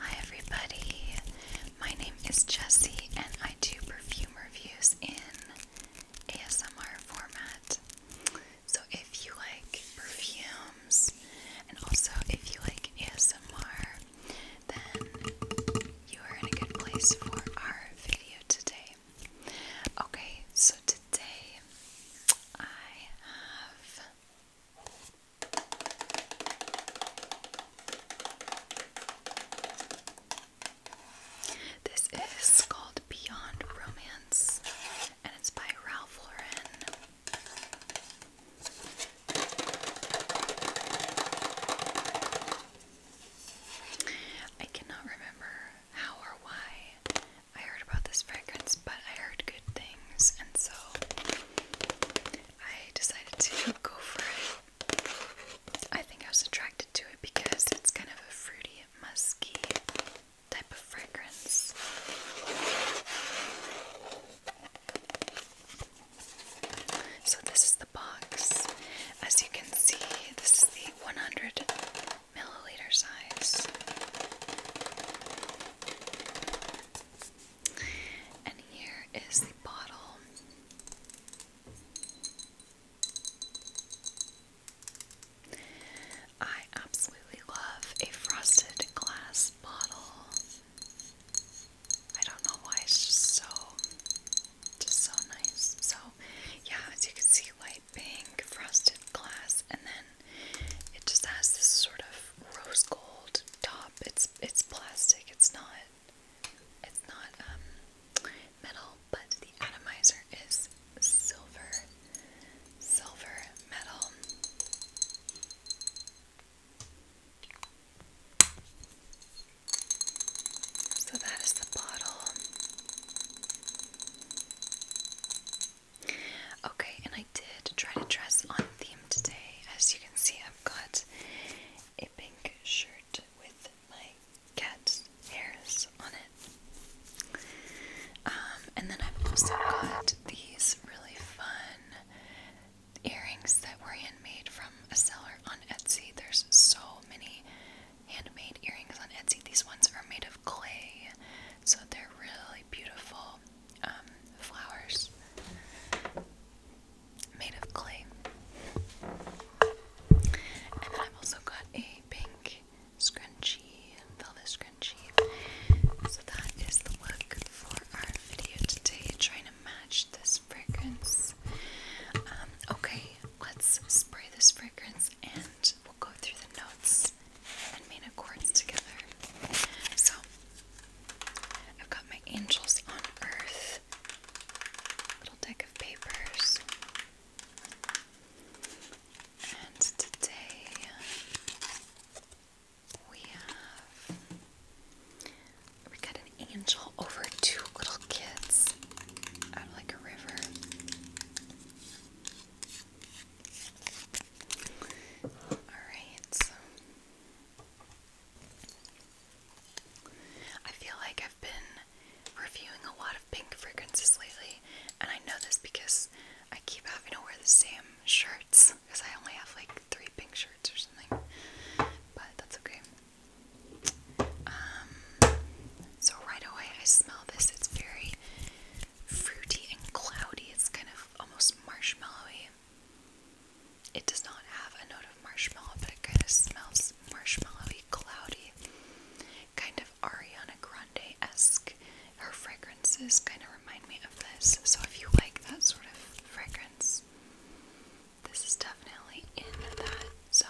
Hi everybody, my name is Jessie and I do perfume reviews in ASMR format. So if you like perfumes and also if you like ASMR, then you are in a good place for our video today. Okay, so today I have this is called Beyond Romance and it's by Ralph Lauren. I cannot remember how or why I heard about this fragrance, but I heard good things, and so I decided to go for it. I think I was attracted to it because it's kind of a fruity, musky type of fragrance. So, this is the box. As you can see, this is the 100 milliliter size. And here is the bottle. I absolutely love a frosted glass bottle. I don't know why it's just so just so nice. So yeah, as you can see light pink, frosted glass, and then it just has this sort of rose gold top. It's it's plastic. It's not it's not um metal, but the atomizer is silver. Silver metal. So that is the bottle. Okay, and I did try to dress on theme today. As you can see, I've got a pink shirt with my cat's hairs on it. Um, and then I've also got these really fun earrings that were handmade from a seller on Etsy. There's so many handmade earrings on Etsy. These ones are made of clay, so they're really beautiful um, flowers made of clay. And then I've also got a pink scrunchie, velvet scrunchie. So that is the look for our video today, trying to match this fragrance. Um, okay, let's spray this fragrance and we'll go through the notes and made up chords together. So I've got my angels on earth little deck of papers. And today we have we got an angel over two little kids out like a river. Alright. I feel like I've been reviewing a lot of pink fragrances lately, and I know this because I keep having to wear the same shirts because I only have like three pink shirts or something. But that's okay. Um, so right away I smell this. It's very fruity and cloudy. It's kind of almost marshmallowy. It does not have a note of marshmallow, but it kind of smells marshmallowy, cloudy, kind of Ariana Grande esque. Her fragrances kind of remind me of this. So if you like that sort of fragrance, this is definitely in that zone.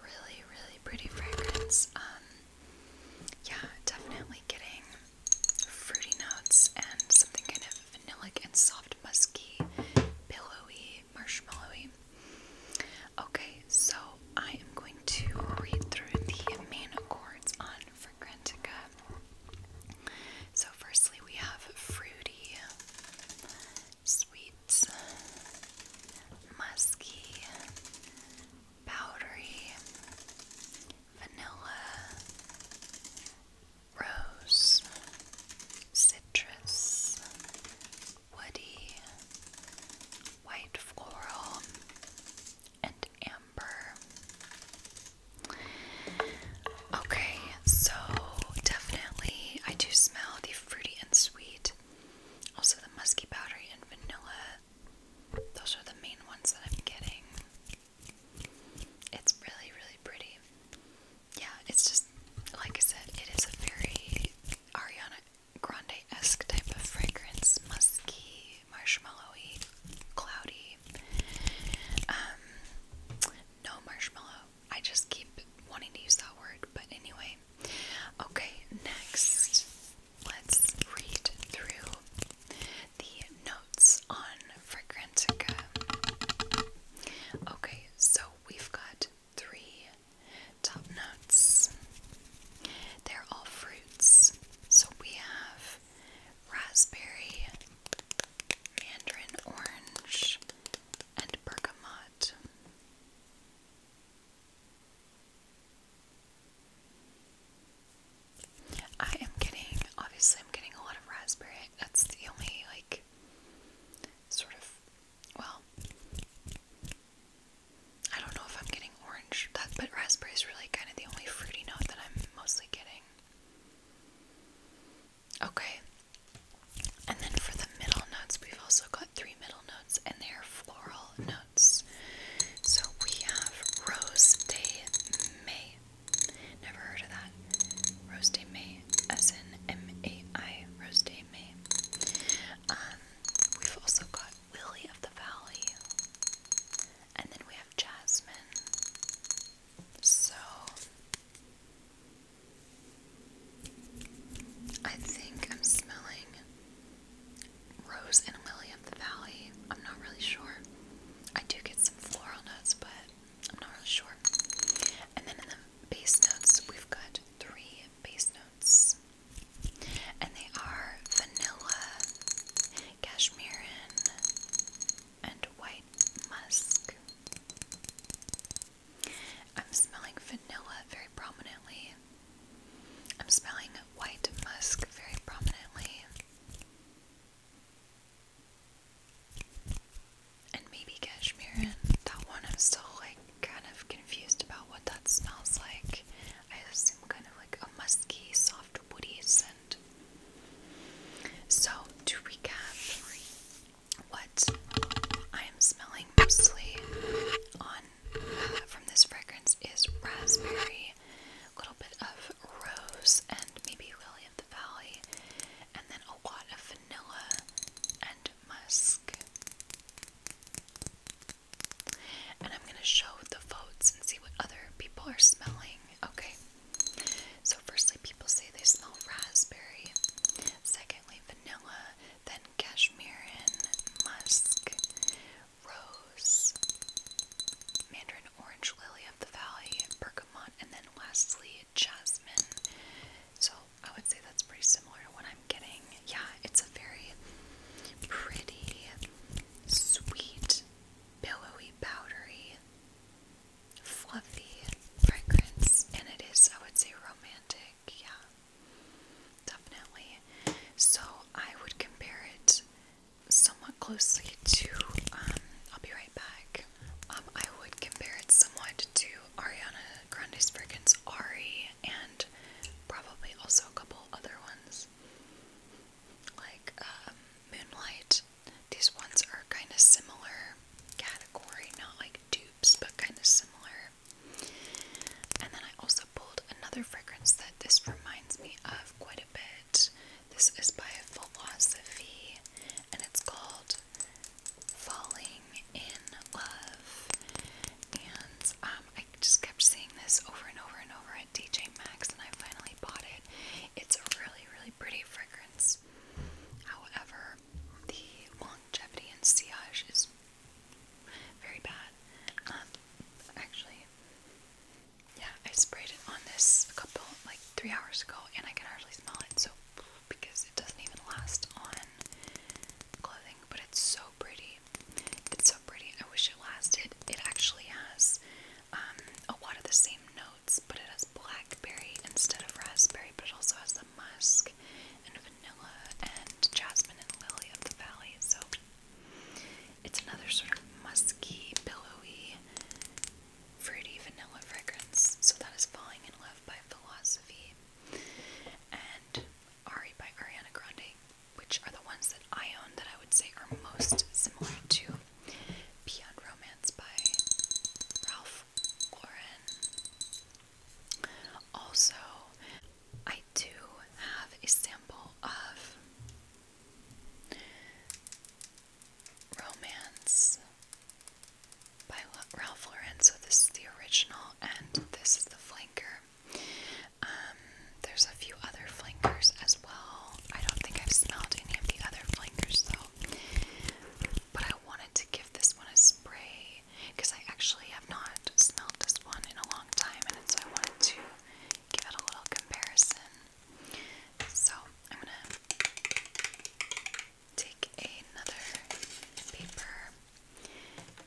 Really, really pretty fragrance. Um, yeah, definitely getting fruity notes and something kind of vanillic and soft, musky, pillowy, marshmallowy. Okay, so I am going to read through the main chords on Fragrantica. So, firstly, we have fruity, sweet, it's musky, powdery, vanilla, rose, citrus, woody, white floral, and amber. Okay, so definitely I do smell the fruity and sweet. Also, the musky powdery and vanilla. Those are the main ones that I'm getting. It's really, really pretty. Yeah, it's just, like I said, it is a very Ariana Grande esque type of fragrance musky, marshmallowy, cloudy. Um, no marshmallow. I just keep wanting to use that word, but anyway, Okay, next, let's read through the notes on Fragrantica. Okay, so we've got three top notes. They're all fruits. So we have raspberry, mandarin orange, and bergamot. I am getting, obviously, I'm getting a lot of raspberry. That's the only, like, sort of, well, I don't know if I'm getting orange, but raspberry is really kind of the only fruity note that I'm mostly getting. Okay, and then for the middle notes, we've also got three middle notes, and they are floral notes. So we have Rose de May. Never heard of that. Rose de May, as Rose de May. Um, we've also got Lily of the Valley, and then we have Jasmine. So I think I'm smelling Rose and Lily of the Valley. I'm not really sure. I do get some floral notes, but I'm not really sure. And then in the base notes, we've got three base notes. And they are vanilla, cashmere, and white musk. I'm smelling vanilla very prominently. I'm smelling white musk very prominently. And maybe cashmere and that one I'm still like kind of confused about what that smells like. I assume kind of like a musky, soft, woody scent. So to recap, what I am smelling mostly on uh, from this fragrance is raspberry, a little bit of rose, and maybe lily of the valley, and then a lot of vanilla and musk. And I'm gonna show the votes and see what other people are smelling. Okay. So, firstly, people say they smell raspberry. Secondly, vanilla, then cashmere and musk, rose, mandarin orange, lily of the valley, bergamot, and then lastly, jasmine. So, I would say that's pretty similar to what I'm getting. Yeah, it's a very pretty, sweet, billowy, powdery fluffy fragrance, and it is, I would say, romantic. Yeah, definitely. So I would compare it somewhat closely to. Um, I'll be right back. Um, I would compare it somewhat to Ariana Grande's fragrance Ari, and probably also a couple other ones like um, Moonlight these ones are kind of similar category, not like dupes, but kind of similar. And then I also pulled another fragrance that this reminds me of quite a bit. This is by Philosophy, and it's called Falling in Love. And um, I just kept seeing this over and over and over at DJ Max, and I finally bought it. It's a really, really pretty fragrance. However, the longevity and sillage is very bad. Um, actually, yeah, I sprayed it on this a couple, like three hours ago, and I can hardly smell it. So, because it doesn't even last on clothing, but it's so pretty. It's so pretty. I wish it lasted. It actually has um, a lot of the same notes, but it has blackberry instead of raspberry, but it also has the musk and vanilla and jasmine and lily of the valley. So it's another sort of musky, pillowy, fruity vanilla fragrance. So that is Falling in Love by Philosophy and Ari by Ariana Grande, which are the ones that I own that I would say are most similar to Beyond Romance by Ralph Lauren. Also, I do have a sample of Romance by Ralph Lauren. So, this is the original, and this is the flanker. Um, there's a few other flankers as well. I don't think I've smelled any of the other flankers though. But I wanted to give this one a spray because I actually have not smelled this one in a long time, and so I wanted to give it a little comparison. So I'm gonna take another paper,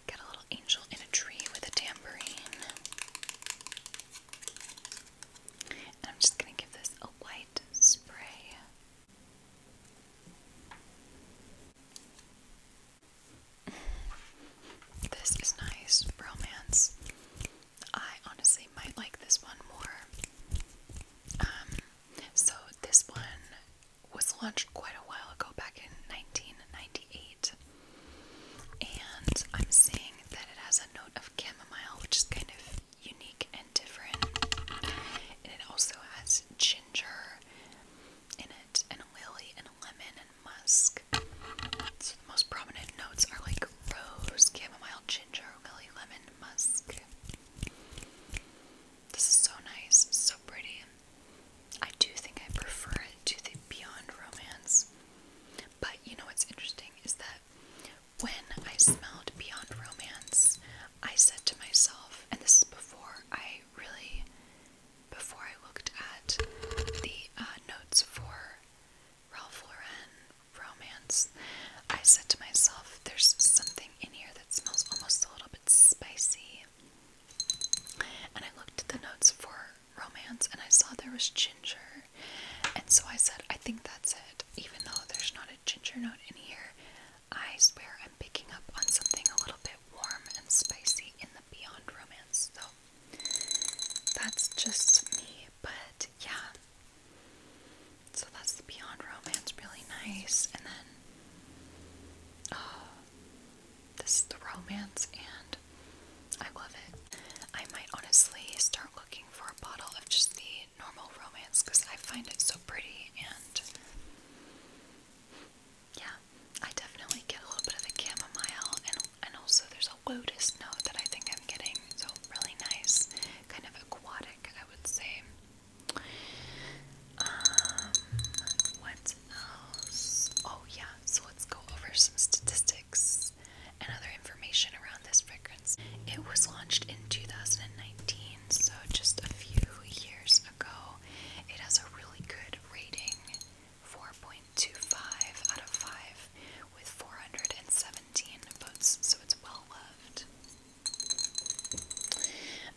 get a little angel in a tree with a tambourine. And I'm just gonna give this a light spray. This is nice, romance. I honestly might like this one more. Um, so this one was launched quite a while ago, back in 1998, and I'm seeing that it has a note of chamomile, which is kind of unique and different. And it also has ginger in it, and lily, and lemon, and musk. the most prominent notes are like rose, chamomile, ginger, lily, lemon, musk. This is so nice, so pretty. I do think I prefer it to the Beyond Romance. But you know what's interesting is that when I smelled Beyond Romance, I said to myself, and this is before I really, before I looked at the uh, notes for Ralph Lauren Romance, I said to myself, there's something in here that smells almost a little bit spicy. And I looked at the notes for Romance and I saw there was ginger. And so I said, I think that's it. Even though there's not a ginger note in here, I swear I'm picking up on something a little bit warm and spicy in the Beyond Romance. So that's just me, but yeah. So that's the Beyond Romance, really nice. And then, uh, this is the romance and I love it. I might honestly start looking for a bottle of just the normal romance because I find it so pretty and yeah, I definitely get a little bit of the chamomile and and also there's a lotus note that I think I'm getting. So really nice, kind of aquatic, I would say. Um what else? Oh yeah, so let's go over some statistics and other information around this fragrance. It was launched in 2019, so just a few years ago. It has a really good rating 4.25 out of 5 with 417 votes, so it's well loved.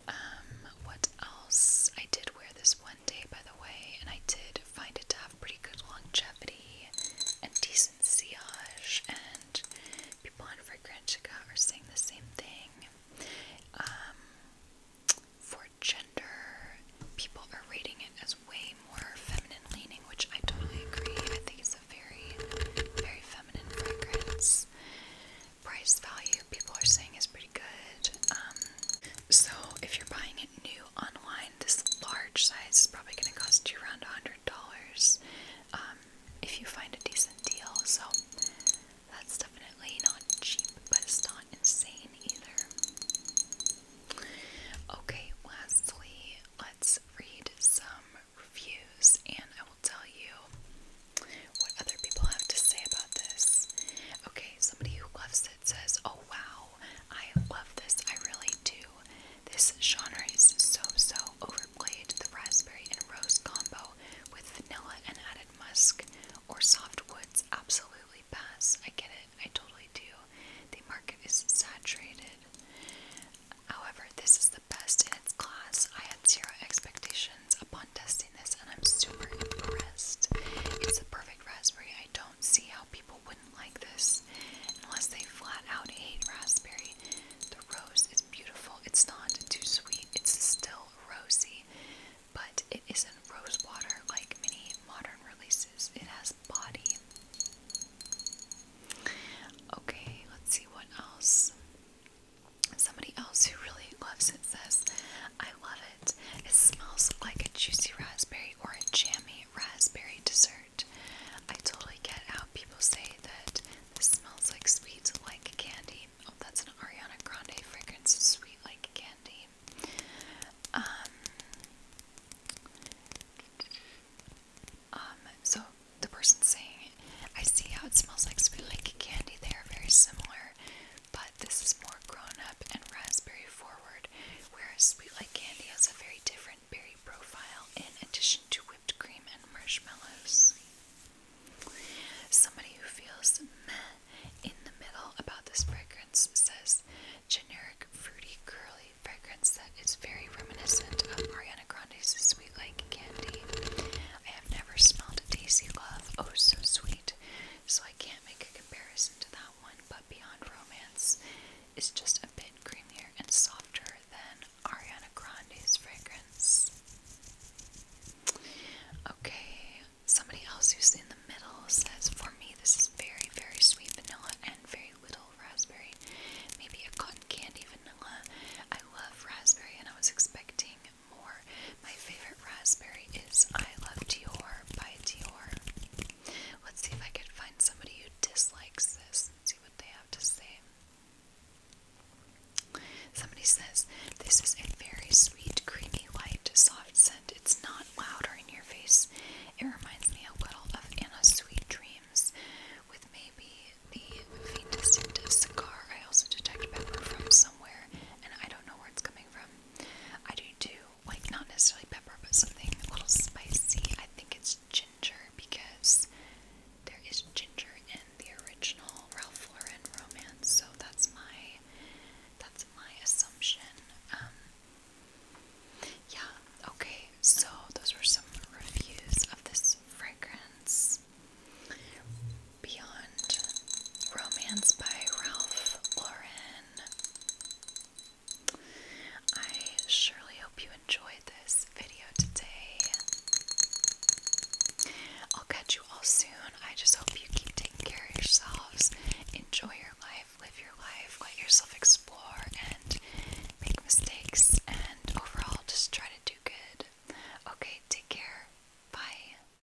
Um, what else? I did wear this one day, by the way, and I did would find it to have pretty good longevity and decent sillage, and people on Fragrantica are saying the same thing. Um, for gender, people are rating it as way more feminine leaning, which I totally agree. I think it's a very, very feminine fragrance. Price value, people are saying is pretty good. Um, so if you're buying it new, online, this large size is probably going to cost you around $100 um, if you find a decent deal. So that's definitely not cheap, but it's not insane either. Okay, lastly, let's read some reviews and I will tell you what other people have to say about this. Okay, somebody who loves it it says, oh wow, I love this, I really do. This genre is so so overplayed. The raspberry and rose combo with vanilla and added musk or soft woods absolutely pass. I get it, I totally do. The market is saturated. However, this is the best in its class. I had zero expectations upon testing this and I'm super impressed. It's the perfect raspberry. I don't see how people people wouldn't like this unless they flat out hate raspberry. The rose is beautiful. It's not too sweet. It's still rosy, but it isn't rose water like many modern releases. It has body. Okay, let's see what else. Somebody else who really loves it says, I love it. It smells like a juicy raspberry or a jammy raspberry dessert. I totally get how people say that this smells like sweet like candy. Oh, that's an Ariana Grande fragrance, sweet like candy. Um, um, so the person saying, it, I see how it smells like sweet like candy. They are very similar but this is more grown up and raspberry forward, whereas Sweet Like Candy has a very different berry profile in addition to whipped cream and marshmallows. Somebody who feels meh in the middle about this fragrance says generic fruity curly fragrance that is very reminiscent of Ariana Grande's Sweet Like Candy. I have never smelled a Daisy Love, oh so sweet, so I can't make a comparison to that one but beyond romance is just a bit creamier and softer than Ariana Grande's fragrance. Okay, somebody else who's in the middle says, For me, this is very, very sweet vanilla and very little raspberry. Maybe a cotton candy vanilla. I love raspberry and I was expecting more my favorite raspberry is I Love Dior by Dior. Let's see if I can find somebody who dislikes this see what they have to say. Somebody says, This is a very sweet, creamy, light, soft scent. It's not loud or in your face. It reminds me a little of Anna's Sweet Dreams, with maybe the faintest hint of cigar. I also detect pepper from somewhere, and I don't know where it's coming from. I do do like not necessarily pepper but something a little spicy. I think it's ginger because there is ginger in the original Ralph Lauren romance, so that's my that's my assumption. Um yeah, okay, so those were some reviews of this fragrance. Beyond Romance by Ralph Lauren. I surely hope you enjoyed this video today. I'll catch you all soon. I just hope you keep taking care of yourselves. Enjoy your life, live your life, let yourself explore and make mistakes, and overall just try to do good. Okay, take care. Bye.